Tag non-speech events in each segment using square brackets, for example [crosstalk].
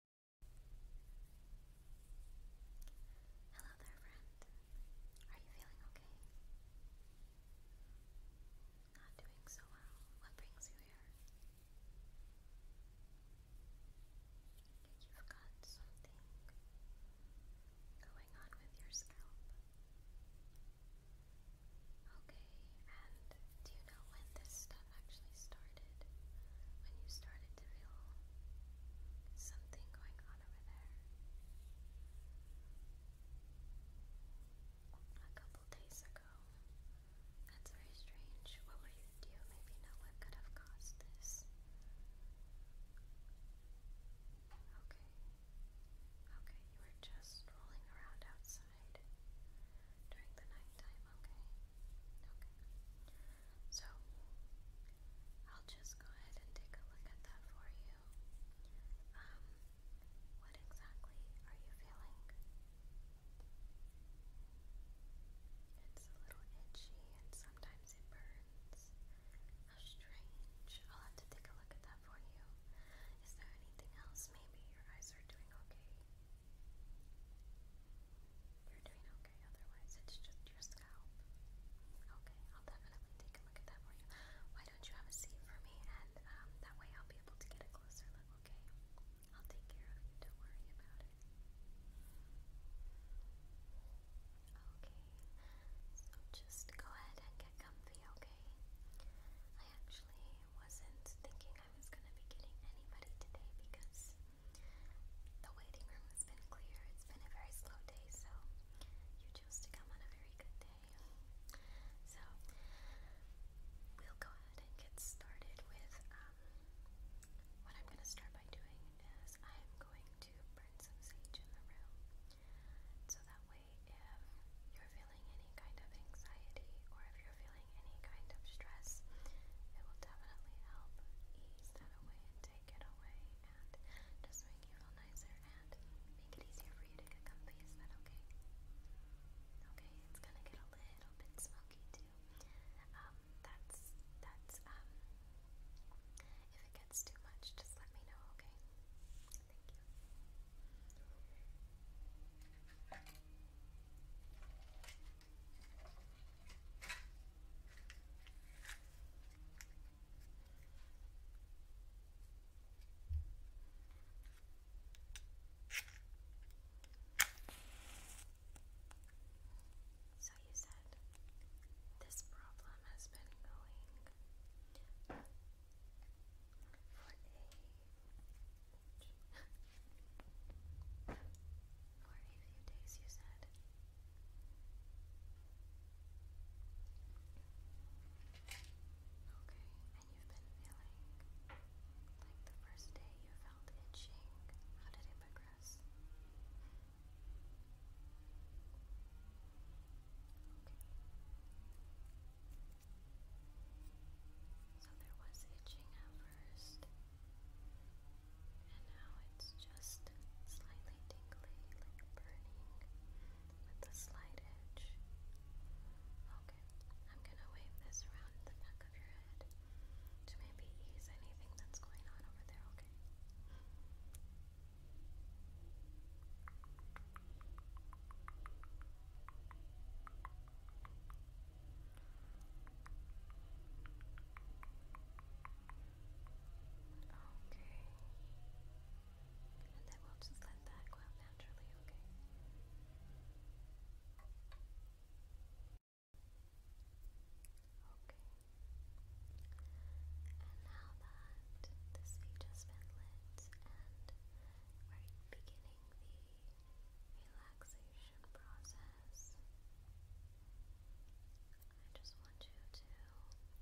Hello there, friend. Are you feeling okay? Not doing so well. What brings you here? you've got something going on with your scalp? Okay, and do you know when this started? actually started, when you started to feel something going on over there. A couple days ago. That's very strange. What were you? Do maybe know what could have caused this? Okay. Okay, you were just rolling around outside during the nighttime, okay? Okay. So, I'll just go ahead and take a look at that for you. Um, what exactly are you feeling? It's a little itchy and sometimes it burns. How strange. I'll have to take a look at that for you. Is there anything else? Maybe your eyes are doing okay. You're doing okay, otherwise it's just your scalp. Okay, I'll definitely take a look at that for you. Why don't you have a seat for me, and um, that way I'll be able to get a closer look, okay? I'll take care of you, don't worry about it. Okay, so just go ahead and get comfy, okay? I actually wasn't thinking I was going to be getting anybody today because the waiting room has been clear. It's been a very slow day, so you chose to come on a very good day. So we'll go ahead and get started with um, what I'm going to start by doing is I'm going to burn some sage in the room. So that way, if you're feeling any kind of anxiety or if you're any kind of stress, it will definitely help ease that away and take it away and just make you feel nicer and make it easier for you to get comfy. Is that okay? Okay, it's gonna get a little bit smoky too. Um, that's that's um. If it gets too much, just let me know. Okay. Thank you. So you said this problem has been going for a for a few days, you said. Okay, and you've been feeling like the first day you felt itching. How did it progress? So there was itching at first, and now it's just slightly tingly, like burning with a slight edge. Okay, I'm gonna wave this around the back of your head to maybe ease anything that's going on over there, Okay, Okay. And then we'll just let that go out naturally, okay? Okay. And now that the speech has been lit we're beginning the relaxation creation process. I just want you to know that we'll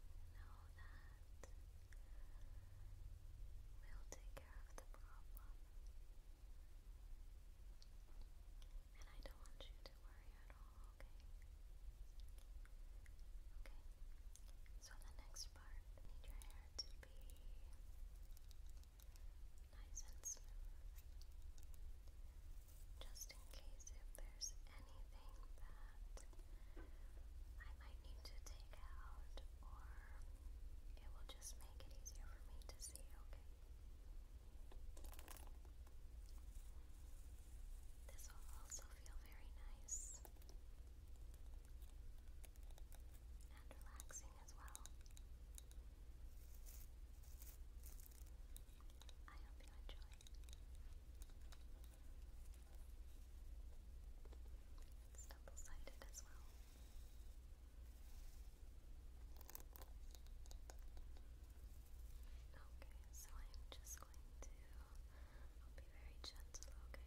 take care of the problem. And I don't want you to worry at all, okay? Okay, so the next part, I need your hair to be nice and Just in case if there's anything that I might need to take out, or it will just make it easier for me to see, okay? This will also feel very nice and relaxing as well. I hope you enjoy. It's double sided as well. Okay, so I'm just going to. I'll be very gentle, okay?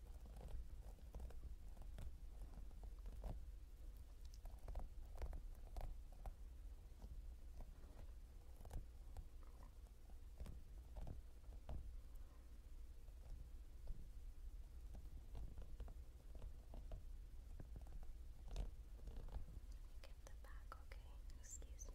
Get the back, okay? Excuse me.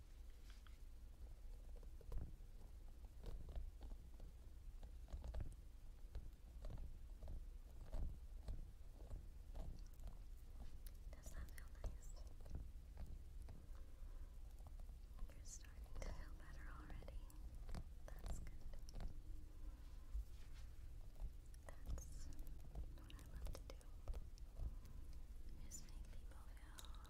Does that feel nice? You're starting to feel better already. That's good. That's what I love to do. Just make people feel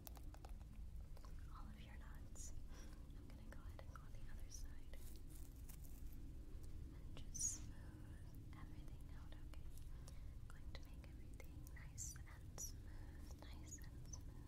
all of your knots. I'm going to go ahead and go the other side and just smooth everything out, okay? going to make everything nice and smooth, nice and smooth.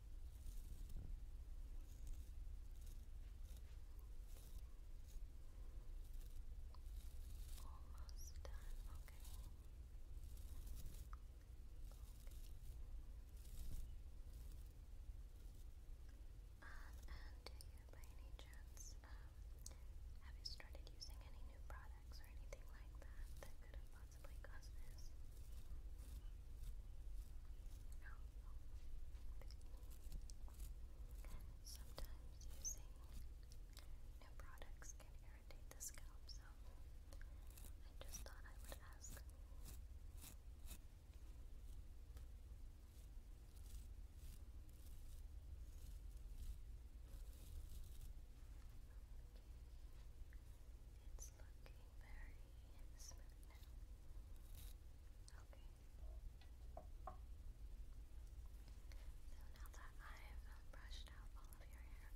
Almost done. Okay. okay. Um, and do uh, you, by any chance, um, have you started using any new products or anything like that that could have possibly cause Sometimes using new products can irritate the scalp, so I just thought I would ask is looking very smooth Okay. So now that I've brushed out all of your hair,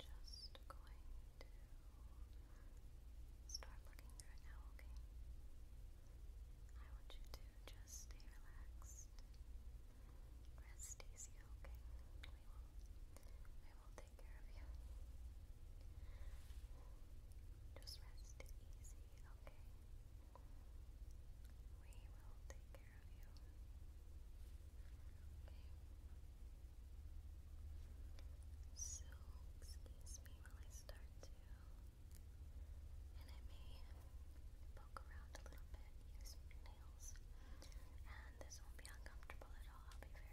I'm just going to start looking through now, okay? I want you to just stay relaxed. Rest easy, okay? We will, will take care of you. Just rest easy, okay? We will take care of you. So, excuse me while I start to. And I may poke around a little bit, use nails. And this won't be uncomfortable at all. I'll be very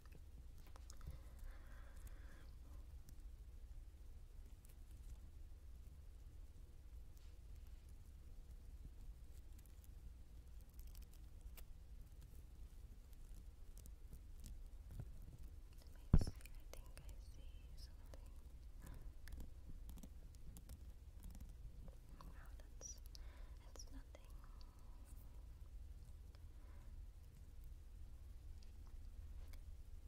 Amazing, I think I see something. Wow, that's it's not something.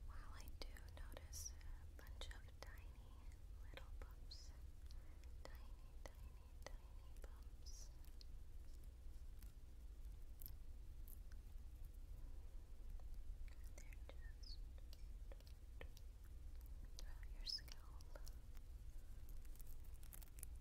While I do notice a bunch of tiny little bumps, tiny, tiny, tiny bumps. They're just throughout your scalp. Wait a minute.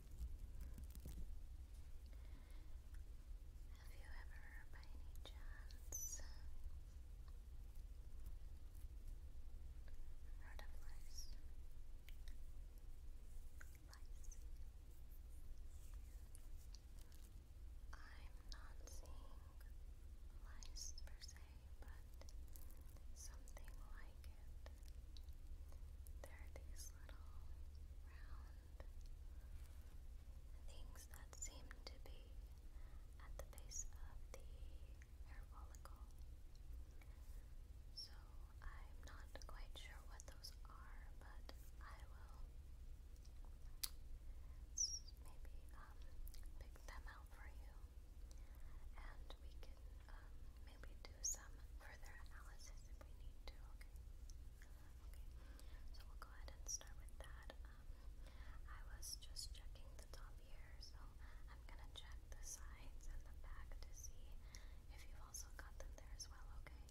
Have you ever, by any chance, heard of lice? I'm not seeing lice per se, but something like it. There are these little round things that seem to be at the base of the hair follicle. So I'm not quite sure what those are, but I will maybe um, pick them out for you, and we can um, maybe do some further analysis if we need to, okay? so we'll go ahead and start with that. Um, I was just checking the top here, so I'm gonna check the sides and the back to see if you've also got them there as well, Okay.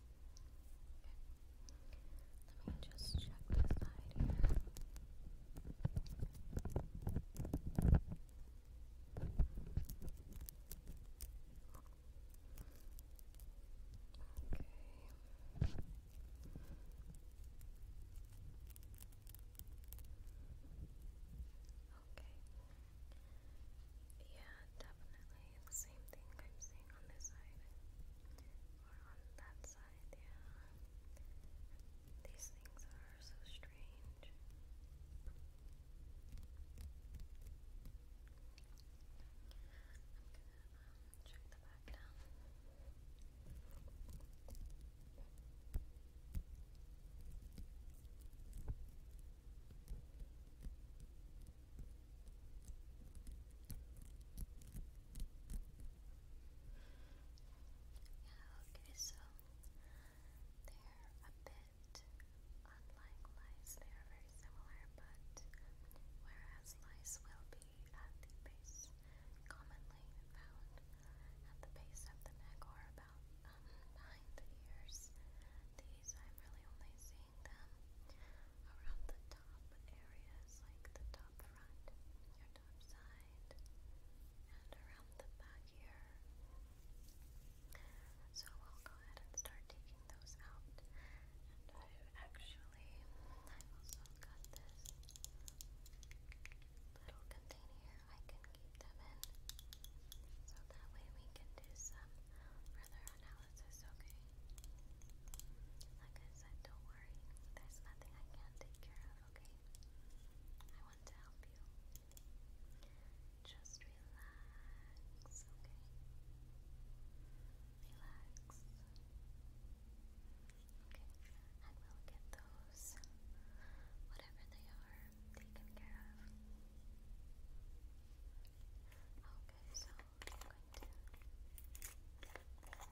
Let me just check the side here. Yeah, definitely the same thing I'm seeing on this side or on that side, yeah. These things are so strange um, check Yeah, okay, so they're a bit bit unlike lice. They are very similar, but whereas lice will be at the base, commonly found at the base of the neck or about um, behind the ears, these I'm really only seeing them around the top areas, like the top front, your top side, and around the back here. So we'll go ahead and start taking those out. And I've actually, I've also got this little container I can keep them in. So that way we can do some further analysis, okay? Like I said, don't worry. There's nothing I can't take care of, okay? I want to help you. Just relax, okay? Relax. Okay, and will get those, whatever they are, taken care of. Okay, so I'm going to. Okay, so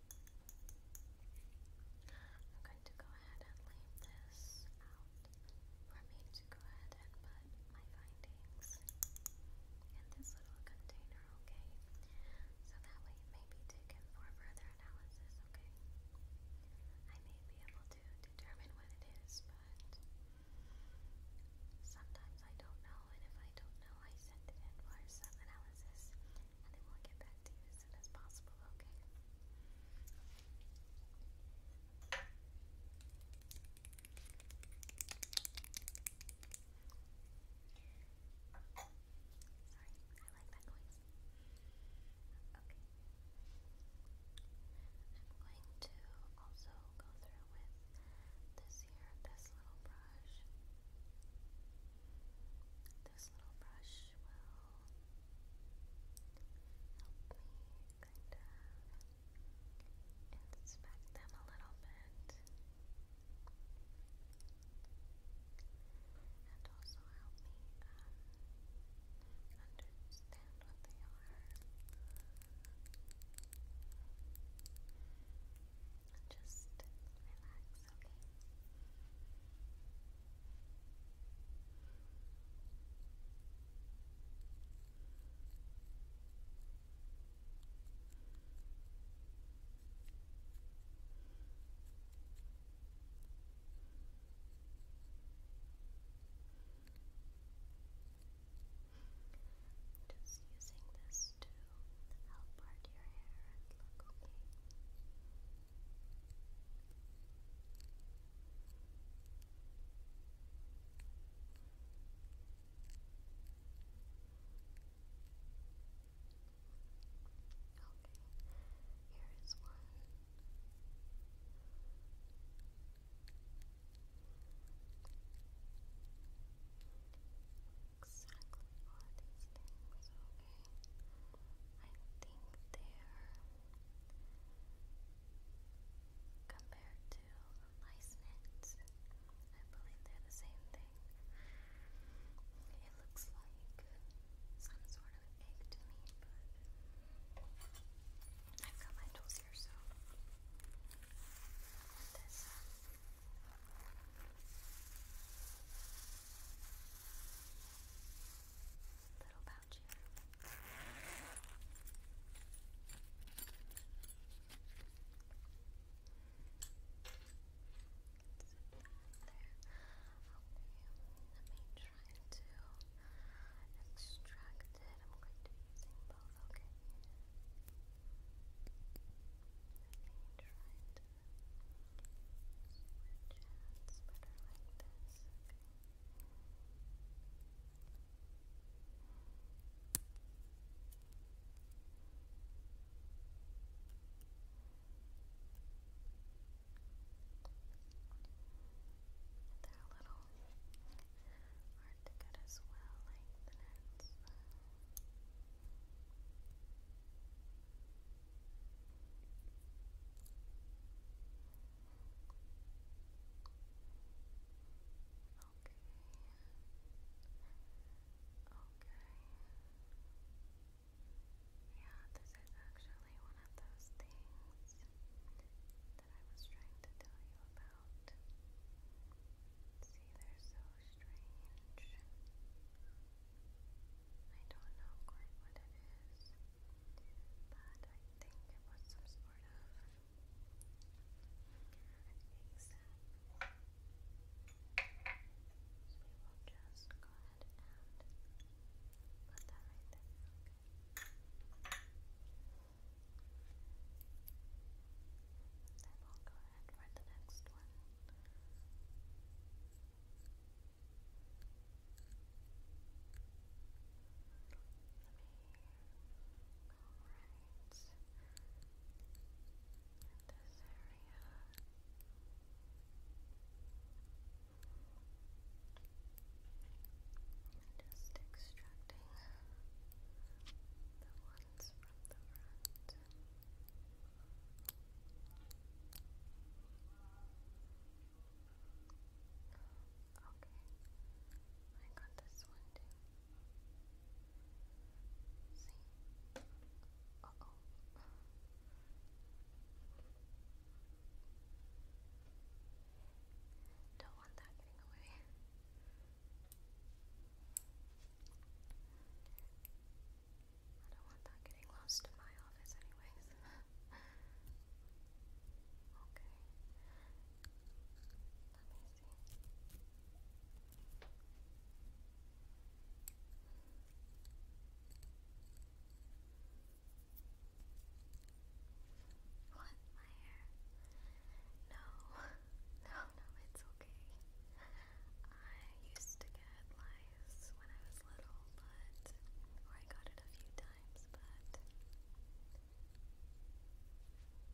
I'm going to go ahead and leave this out for me to go ahead and put my findings in this little container, okay? So that way it may be taken for further analysis, okay? I may be able to determine what it is, but sometimes I don't know, and if I don't know, I send it in for some analysis, and then will get back that you as possible, okay? Sorry, I like that noise. Okay. I'm going to also go through with this here, this little brush. This little brush will kind of inspect them a little bit. And also help me understand what they are. Just relax, just using this to help part your hair and look here is one. Exactly what is things, okay. I think they're compared to lice I believe they're the same thing. It looks like some sort of egg to me, but I've got my tools here, so little pouch here. There. Okay, let me to extract it. I'm going to be using both, okay? it's better They're a little hard to get as well, like the nets. Yeah, this is actually one of those things that I was trying to tell you about. See, they're so strange. I don't know quite what it is but I think it was some sort of exam. So we will just go ahead and put that right there. Then we'll go ahead for the next one just extracting the ones from the front. I got this one too. See? oh. Don't want that getting away. I don't want that getting lost in my office anyways. okay. [laughs] Let me see. [laughs] What? My hair? No. [laughs] No, no, it's okay. I used to get lice when I was little but I got it a few times, but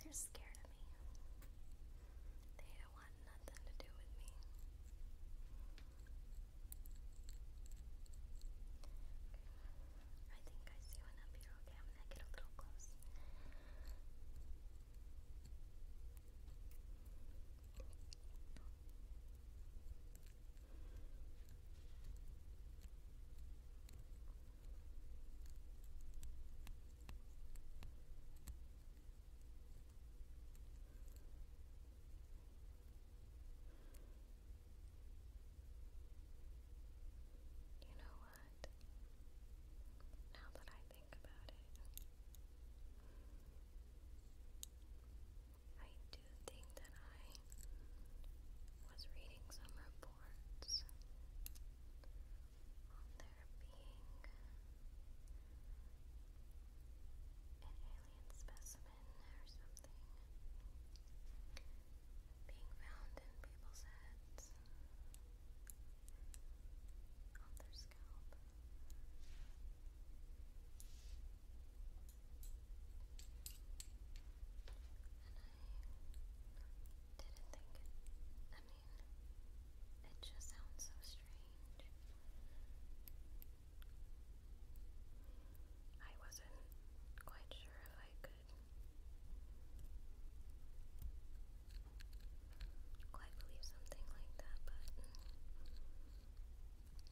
they're scared of me. They want nothing to do with me. I think I see one up here. Okay, I'm gonna get a little close. You know what? Now that I think about it, I do think that I was reading some reports on there being an alien specimen or something being found in people's heads on their scalp didn't think I mean, it just sounds so strange. I wasn't quite sure if I could quite believe something like that, but I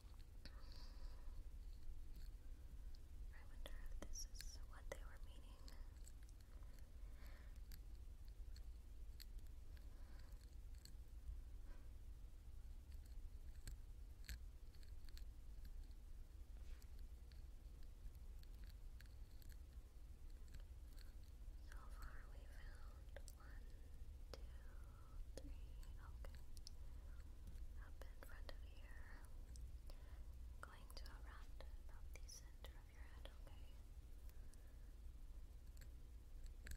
wonder if this is what they were meaning. So far, we found one, two, three, okay. Up in front of here. Going to around about the center of your head, okay. I found one.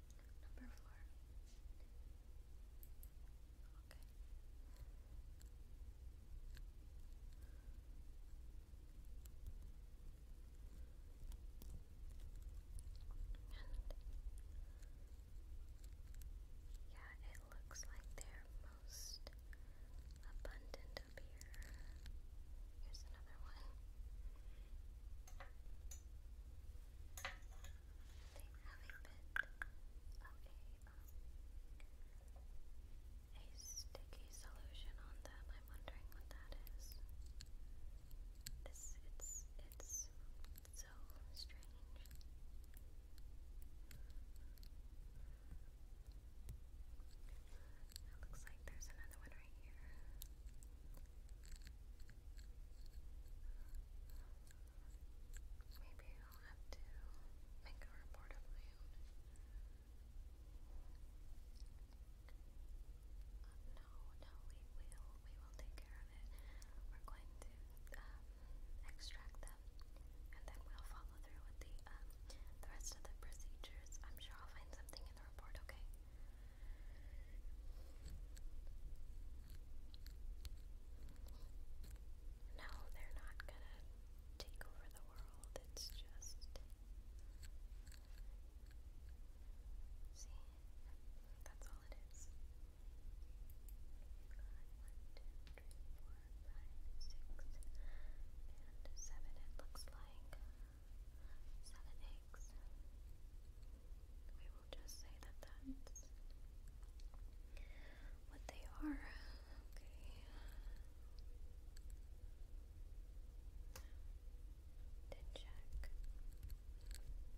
Number four. yeah, it looks like they most abundant up Here's another one um, a sticky solution on them. I'm wondering what that is. This it's it's so strange. It looks like there's another one right here. Maybe I'll have to make a report of my own. no, no, we will. We will take care of it. We're going to extract them, and then we'll follow through with the um, the rest of the procedures. I'm sure I'll find something in the report. Okay. No, they're not gonna take over the world. It's just. See? That's all it is. and seven, it looks like. Seven, eight legs. We will just say that that's what they are. Okay. To check the back.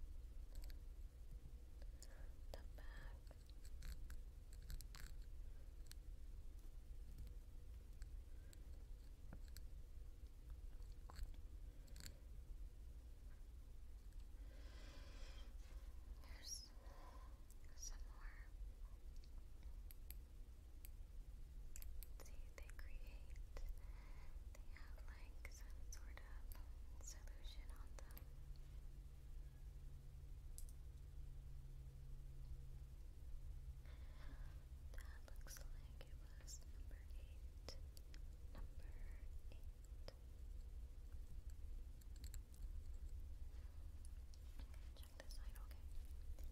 Here's some more. See, they create, they have like some sort of solution on them. That looks like it was number eight. Number eight. Check this side, okay. Okay,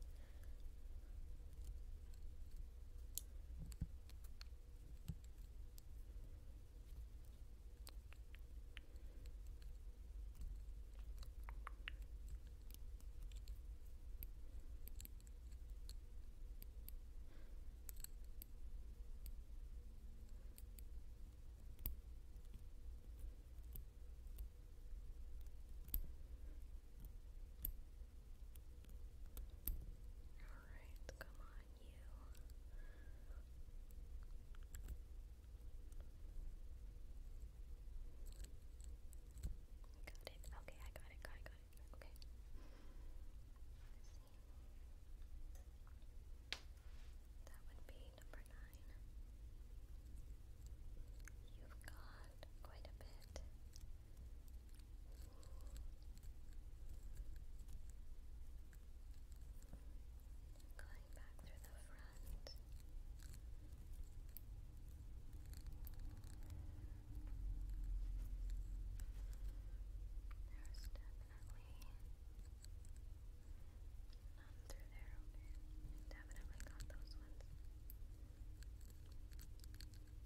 Alright, come on, you. Got it. Okay, I got it, got got it. Okay. That would be number nine. You've got quite a bit. Going back through the front. There's seven definitely none through there, Definitely got those ones. I think I found one over here actually.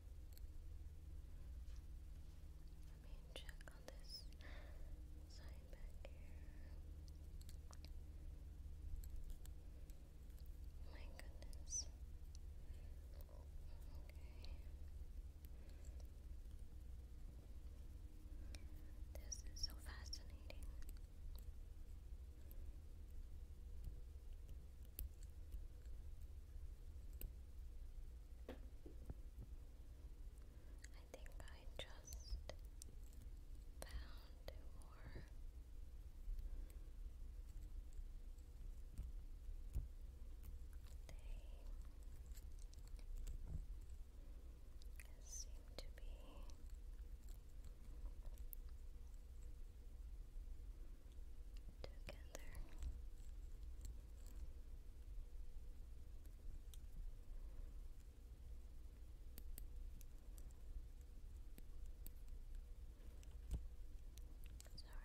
Let me check on this side back here. My goodness. Okay. This is so fascinating. I think I just found more they seem to be together. Sorry. I'm going to. Okay, I finally got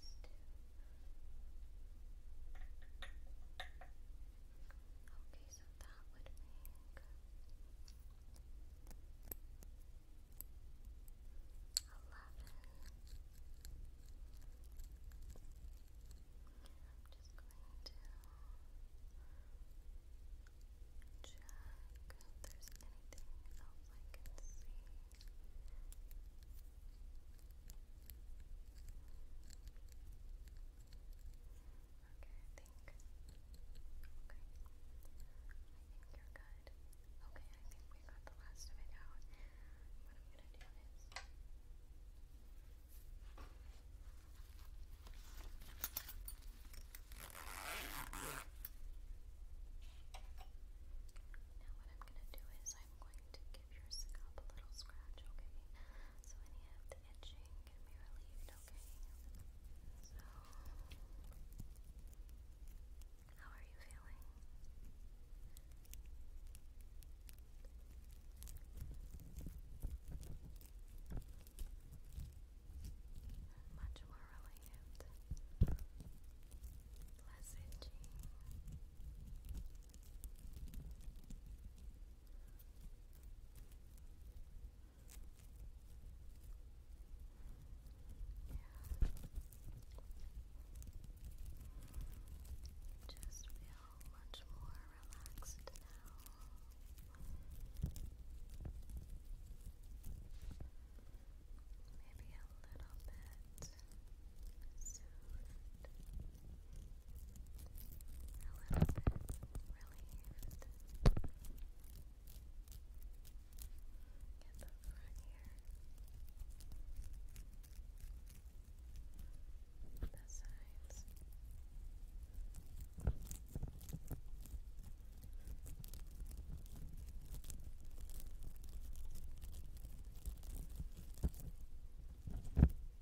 these two. Okay, so that would make eleven. I'm just going to check if there's anything else I can see. Okay. I think. Okay. I think you're good. Okay, I think we got the last of it out. What I'm gonna do is. Now, what I'm going to do is, I'm going to give your scalp a little scratch, okay? So any of the itching can be relieved, okay? So, how are you feeling? Much more relieved, less itchy just feel much more relaxed now. Maybe a little bit soothed, a little bit relieved. Get the front here. The sides. Good.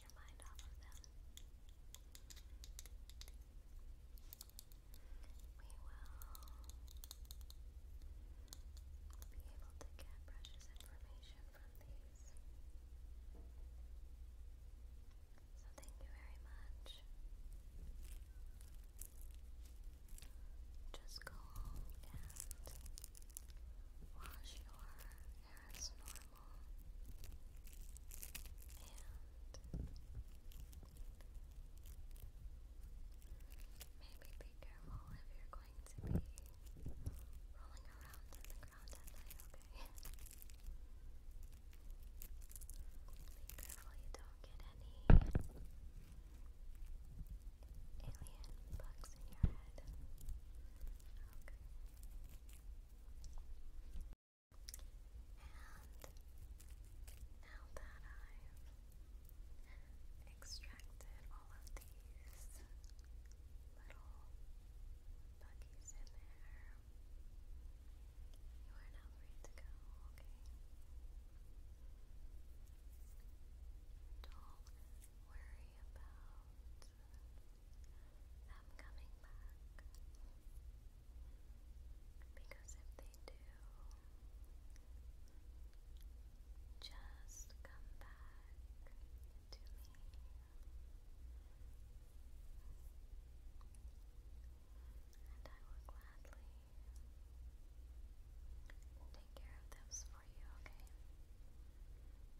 We will be able to get precious information from these. So, thank you very much. Just go and wash your hair as normal and maybe be careful if you're going to be rolling around in the ground at night, be careful you don't get any alien bugs in your head now that I've extracted all of these little buggies in there, you are now free to go, okay? Don't worry about them coming back. Because if they do, just come back to me. And I will gladly take care of those for you, okay?